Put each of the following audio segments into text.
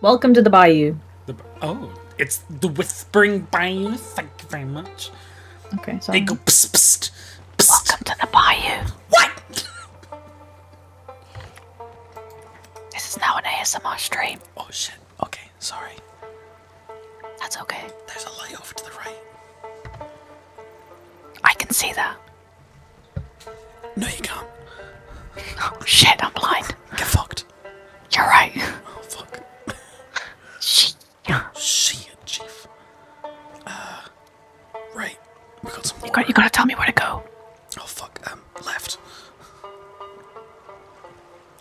Welcome to the Bayou. oh, it's the Whispering Bayou. Thank you very much. Okay, so they go psst, psst, psst. Welcome to the Bayou. What? this is now an ASMR stream. Oh shit. Okay, sorry. That's okay. There's a light over to the right. I can see that. No, you can't. Oh shit, I'm blind. Get fucked. You're right. Oh fuck. Shit. Shit, chief. Uh, right. We got some. You got. You gotta tell me where to go. Oh fuck. Um, left.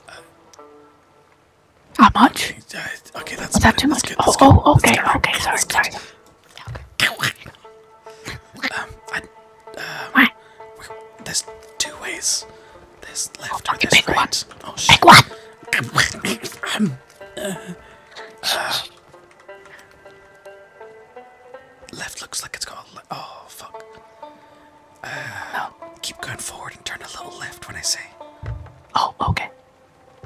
Uh, How much? Okay, uh, okay that's. Is that too much? Good, oh, oh, okay, okay, sorry, sorry um, I, um, There's two ways. There's left or oh, there's right. Oh shit. Pick one. um, uh, left looks like it's going. got a oh fuck. Uh, oh. Keep going forward and turn a little left when I say. Oh, okay.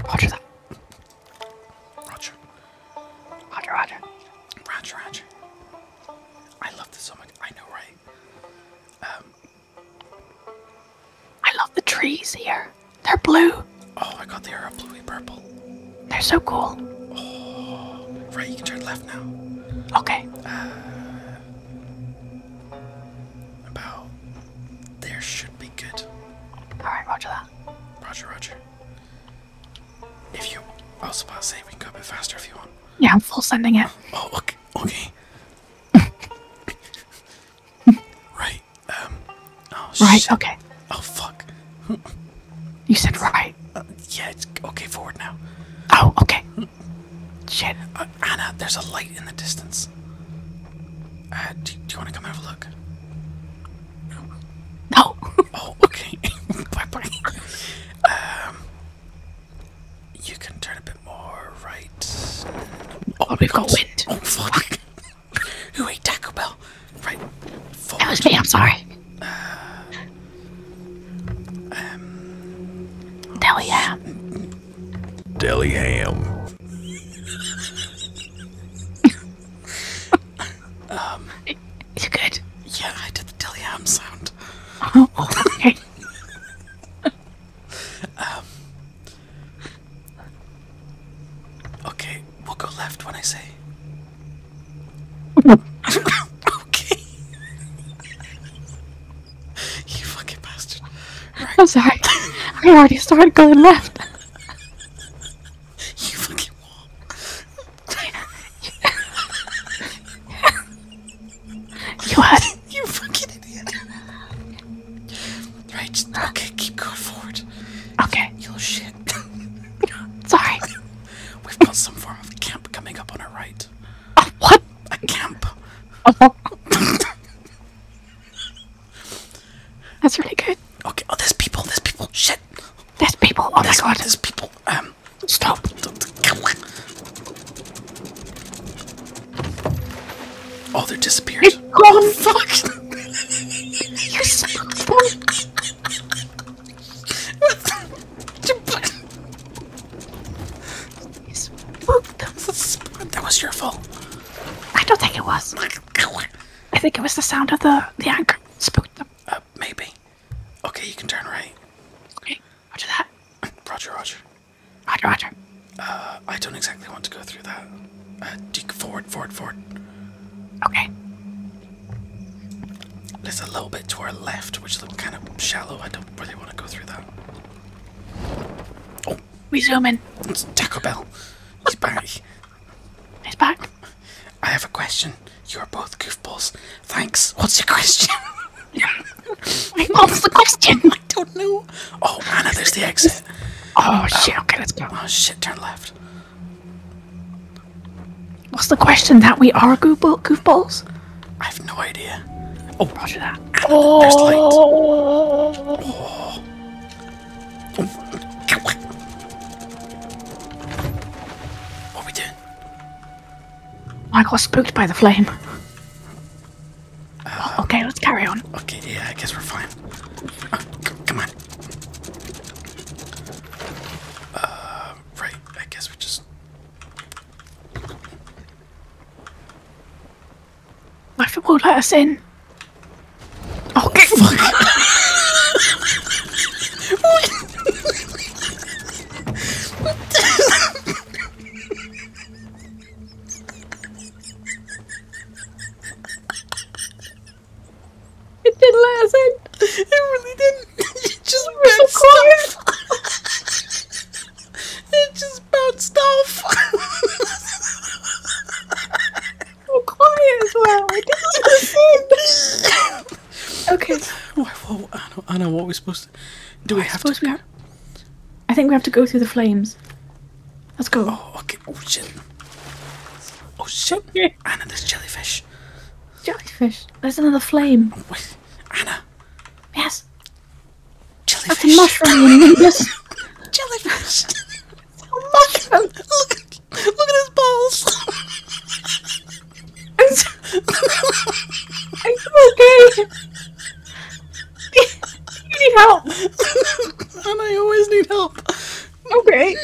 Roger that. Roger. Roger, Roger. Roger, I love this so much. I know, right? Um, I love the trees here. They're blue. Oh my god, they are a bluey purple. They're so cool. Oh, right, you can turn left now. Okay. Uh, about there should be good. All right, roger that. Roger, roger. If you, I was about to say we can go a bit faster if you want. Yeah, I'm full sending it. Oh, okay. okay. right. Um. Oh, right. Okay. Oh fuck. you said right. Uh, yeah. It's okay. Forward now. Oh. Okay. shit. Uh, Anna, there's a light in the distance. Uh, do, you want to come have a look? No. oh, okay. Um, you can turn a bit more right. Oh, we've got wind. Oh fuck! Who ate Taco Bell? Right. Forward. That was me. I'm sorry. Uh, um, Deli ham. Deli ham um, you good? Yeah, I did the Dilliam sound. Oh, okay. um, okay, we'll go left when I say. okay. you fucking bastard. I'm sorry. I already started going left. you fucking wall. you what? you fucking idiot. Right, okay, keep going forward. Okay. You will shit. sorry. We've got some form of camp coming up on our right. Uh, what? A camp. Uh That's really good. Okay. Oh, there's people. There's people. Shit. There's people. Oh there's, my god. There's people. Um. Stop. Oh, they're disappeared. It's gone. Oh, fuck. You're so funny. That was your fault. I don't think it was. I think it was the sound of the, the anchor spooked them. Uh, maybe. Okay, you can turn right. Okay, roger that. Roger, roger. Roger, roger. Uh, I don't exactly want to go through that. Uh, forward, forward, forward. Okay. There's a little bit to our left, which looks kind of shallow. I don't really want to go through that we zoom in. It's Taco Bell. He's back. He's back. I have a question. You are both goofballs. Thanks. What's your question? What's the question? I don't know. Oh, Anna, there's the exit. oh shit. Okay, let's go. Oh shit, turn left. What's the question? That we are goofballs? I have no idea. Oh, roger that. There's light. What we doing? I got spooked by the flame. Uh, okay, let's carry on. Okay, yeah, I guess we're fine. Oh, come on. Uh, right, I guess we just my football let us in. Oh, get It didn't let us in. It really didn't. it just bounced off. it just bounced off. I'm quiet as well. not listen. okay. Whoa, Anna, Anna, what are supposed to do? I suppose We have... I think we have to go through the flames. Let's go. Oh, okay. Oh shit. Oh shit. Anna, there's jellyfish. Jellyfish. There's another flame. Oh, Anna. Yes. Jellyfish. That's a mushroom, you yes. Jellyfish. a mushroom. Look, look at his balls. it's, it's okay. you need help. and I always need help. Okay.